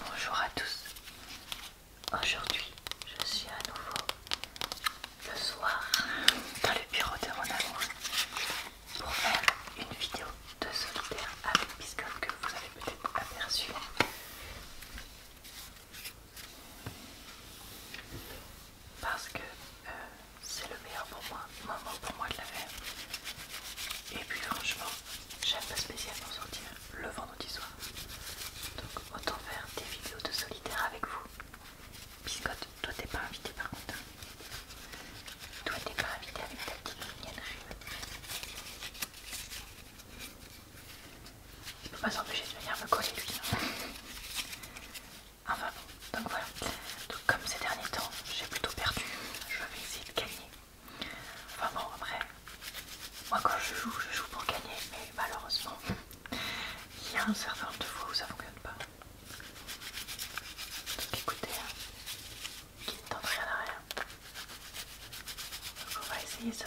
Bonjour à tous. Aujourd'hui, je suis à nouveau le soir dans le bureau de mon amour pour faire une vidéo de solitaire avec Biscoff que vous avez peut-être aperçu. Parce que euh, c'est le meilleur pour moi, moment pour moi de la faire. Et puis franchement, j'aime pas spécialement sortir le vendredi soir. Donc autant faire des vidéos de solitaire avec vous. Biscotte, toi t'es pas invité par contre. Hein. Toi t'es pas invité avec ta petite Il ne peut pas s'empêcher de venir me coller lui. Hein. Enfin bon, donc voilà. Donc comme ces derniers temps, j'ai plutôt perdu, je vais essayer de gagner. Enfin bon, après, moi quand je joue, je joue pour gagner, mais malheureusement, il y a un certain de fois où ça fonctionne pas. écoutez, hein, qui ne tente rien à rien. on va essayer ça.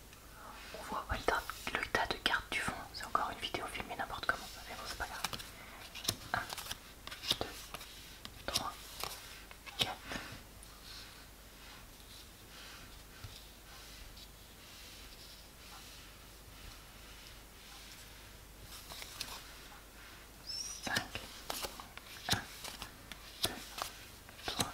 On voit le, tas de cartes du fond. C'est encore une vidéo filmée n'importe comment. Mais bon, c'est pas grave. 1, 2, 3, 4. Cinq, un, deux, trois,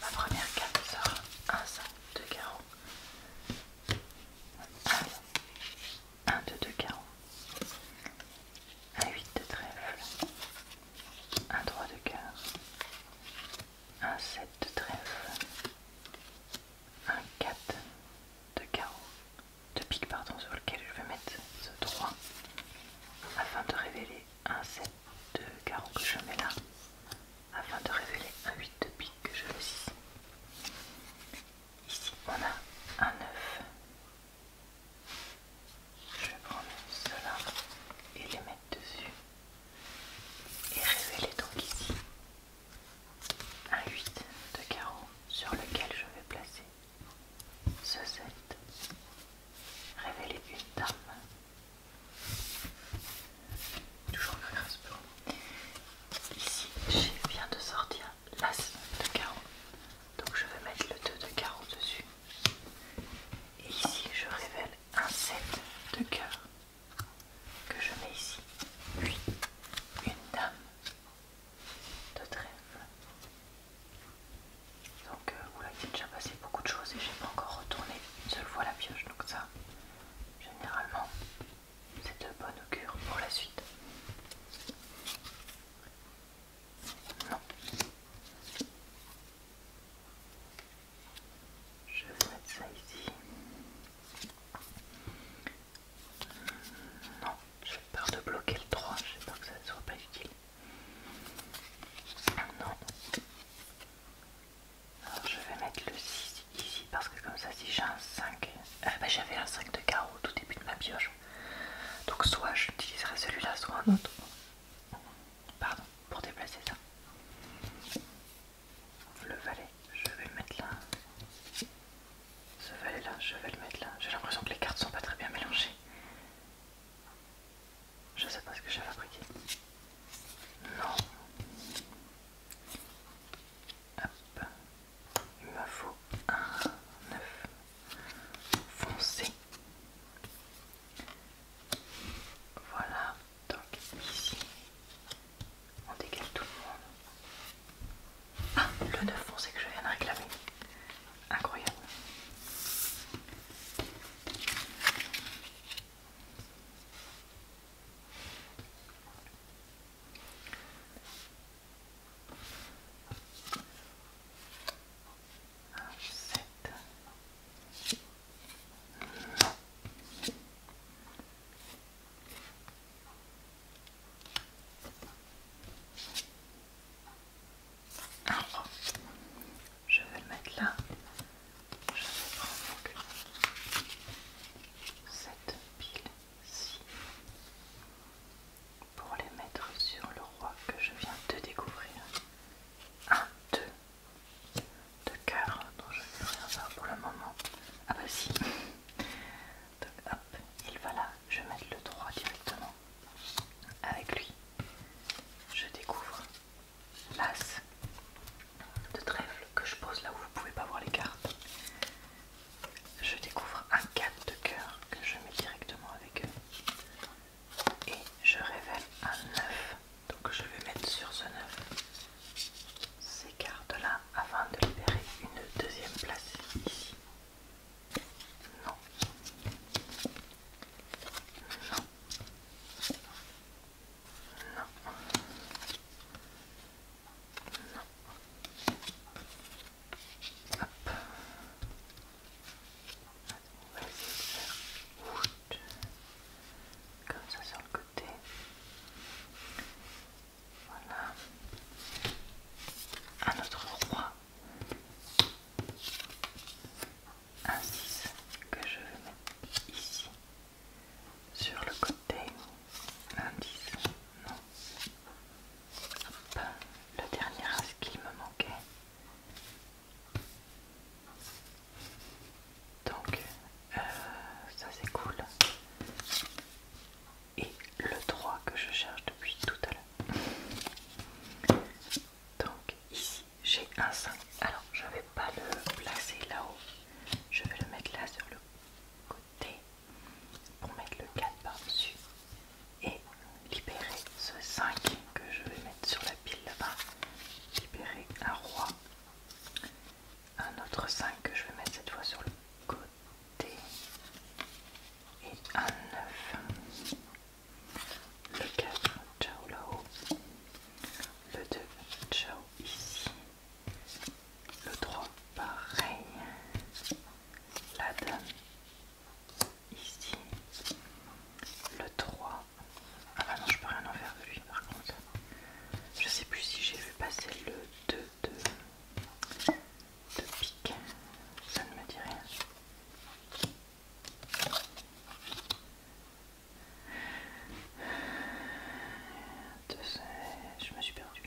Ma première carte sera un 5 de carreau. 1, 2 de carreau. Un 8 de trèfle. Un 3 de cœur. Un 7 de trèfle. Un 4 de carreau. De pique pardon sur lequel je vais mettre ce 3 afin de révéler un 7 de carreau que je mets là afin de révéler un 8 de pique que je veux ici. Ici on a un 9. Je vais prendre cela et les mettre dessus et révéler donc ici un 8 de carreau sur lequel je vais placer ce 7 révélait une dame. Toujours le grâce pour Ici, j'ai bien de sortir l'as de carreau. Donc je vais mettre le 2 de carreau dessus. Et ici, je révèle un set de cœur que je mets ici. Puis, une dame de trèfle donc, vous' euh, oula, déjà passé beaucoup de choses et j'ai pas encore retourné une seule fois la pioche. Donc, ça, généralement, c'est de bonne augure pour la suite. Je vais mettre ça ici. Non, j'ai peur de bloquer le 3, j'espère que ça ne soit pas utile. Non. je vais mettre le 6 ici parce que comme ça si j'ai un 5, euh, ben, j'avais un 5 de carreau au tout début de ma pioche. Donc soit j'utiliserai celui-là, soit un autre. Pardon, pour déplacer ça. Le valet, je vais le mettre là. Ce valet là, je vais le mettre là. J'ai l'impression que les cartes sont pas très bien mélangées. Je sais pas ce que j'ai fabriqué. Non. Hop. Il me faut un neuf foncé. Voilà. Donc ici, on décale tout le monde. Ah, le 9 c'est que je viens de réclamer. Incroyable. Alors, je vais le mettre là. Je vais prendre cette pile-ci pour les mettre sur le roi que je viens de découvrir. Un, deux, de cœur dont je ne vais rien faire pour le moment. Ah bah si il va là, je vais mettre le 3 directement avec lui. Je découvre l'as de trèfle que je pose là où vous pouvez pas voir les cartes. Je découvre un 4 de cœur que je mets directement avec eux. Et je révèle un 9. Donc je vais mettre sur ce 9 ces cartes là afin de libérer une deuxième place ici. Non. Non. Non. Non. Hop. On va essayer de faire comme ça sur le côté. Voilà. Un autre 3, Un 6 que je vais mettre ici. Sur le côté. Un 10. Non. Le dernier as qui me manquait. Donc, euh, ça c'est cool et le 3 que je cherche depuis tout à l'heure. Donc ici j'ai un 5. Alors je ne vais pas le placer là-haut. Je vais le mettre là sur le côté pour mettre le 4 par-dessus et libérer ce 5 que je vais mettre sur la pile là-bas. Libérer un roi un autre 5 que je vais mettre cette fois sur le côté et un 9 le 4 ciao là-haut le 2 ciao ici le 3 pareil la dame ici le 3 ah bah non je peux rien en faire de lui par contre je sais plus si j'ai vu passer le deux, de, pique, ça ne me dit rien. Je me suis perdue.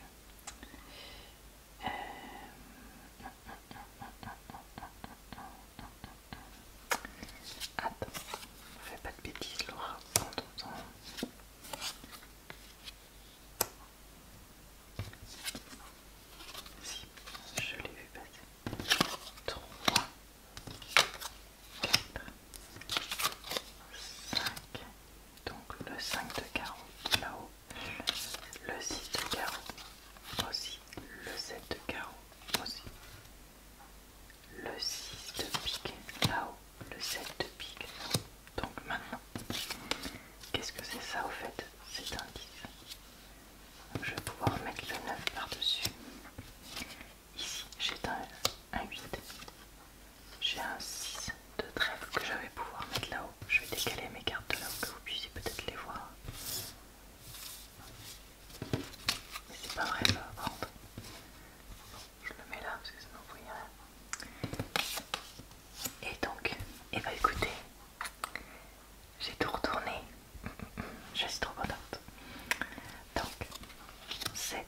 là. Attends, fais pas de bêtises, Laura, si, je l'ai vu passer. 3, 4, 5. Donc le 5 de carreau là-haut. Le 6 de carreau aussi. Le 7 de carreau aussi le 6 de pique là-haut, le 7 de pique là-haut. Donc maintenant, qu'est-ce que c'est ça au fait C'est un 10. Je vais pouvoir mettre le 9 par-dessus. Ici, j'ai un, 8. J'ai un 6 de trèfle que je vais pouvoir mettre là-haut. Je vais décaler mes cartes de là pour que vous puissiez peut-être les voir. Mais c'est pas vrai, ça je le mets là parce que sinon vous voyez rien. Et donc, et eh bah ben, écoutez, j'ai tout retourné. Je suis trop contente. Donc, 7,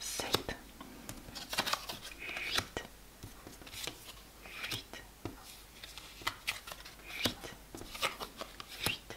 7, 8, 8, 8, 8,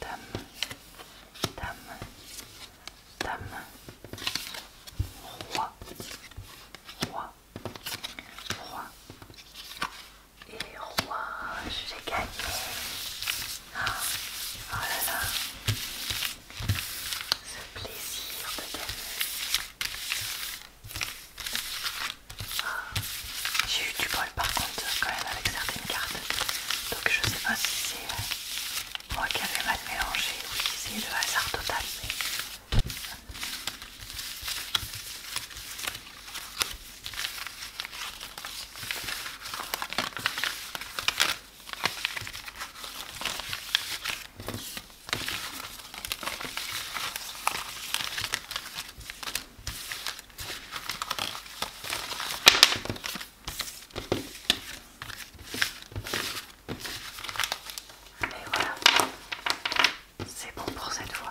Dame, dame, dame, roi, roi, roi. Et roi, j'ai gagné. Ah, oh là là, ce plaisir de gagner. Ah. J'ai eu du bol par contre quand même avec certaines cartes. Donc je sais pas si c'est euh, moi qui avais mal mélangé ou si c'est le hasard total. Et voilà, c'est bon pour cette fois.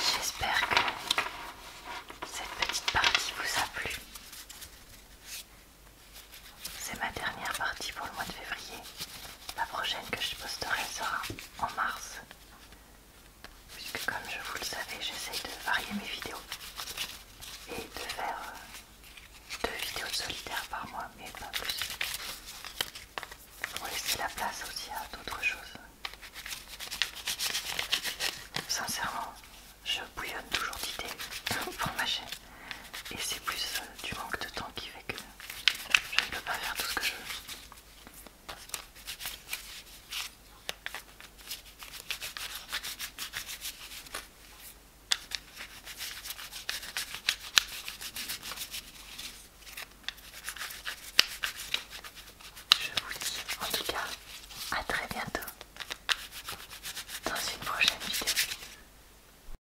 J'espère que cette petite partie vous a plu. C'est ma dernière partie pour le mois de février. La prochaine que je posterai sera en mars. Puisque comme je vous le savez, j'essaye de varier mes vidéos et de faire euh, deux vidéos solitaires par mois, mais pas plus. Pour laisser la place aussi à d'autres choses. Sincèrement, je bouillonne toujours d'idées pour ma chaîne. Et c'est plus euh, du manque de temps qui fait que je ne peux pas faire tout ce que je veux. Je vous dis en tout cas à très bientôt dans une prochaine vidéo.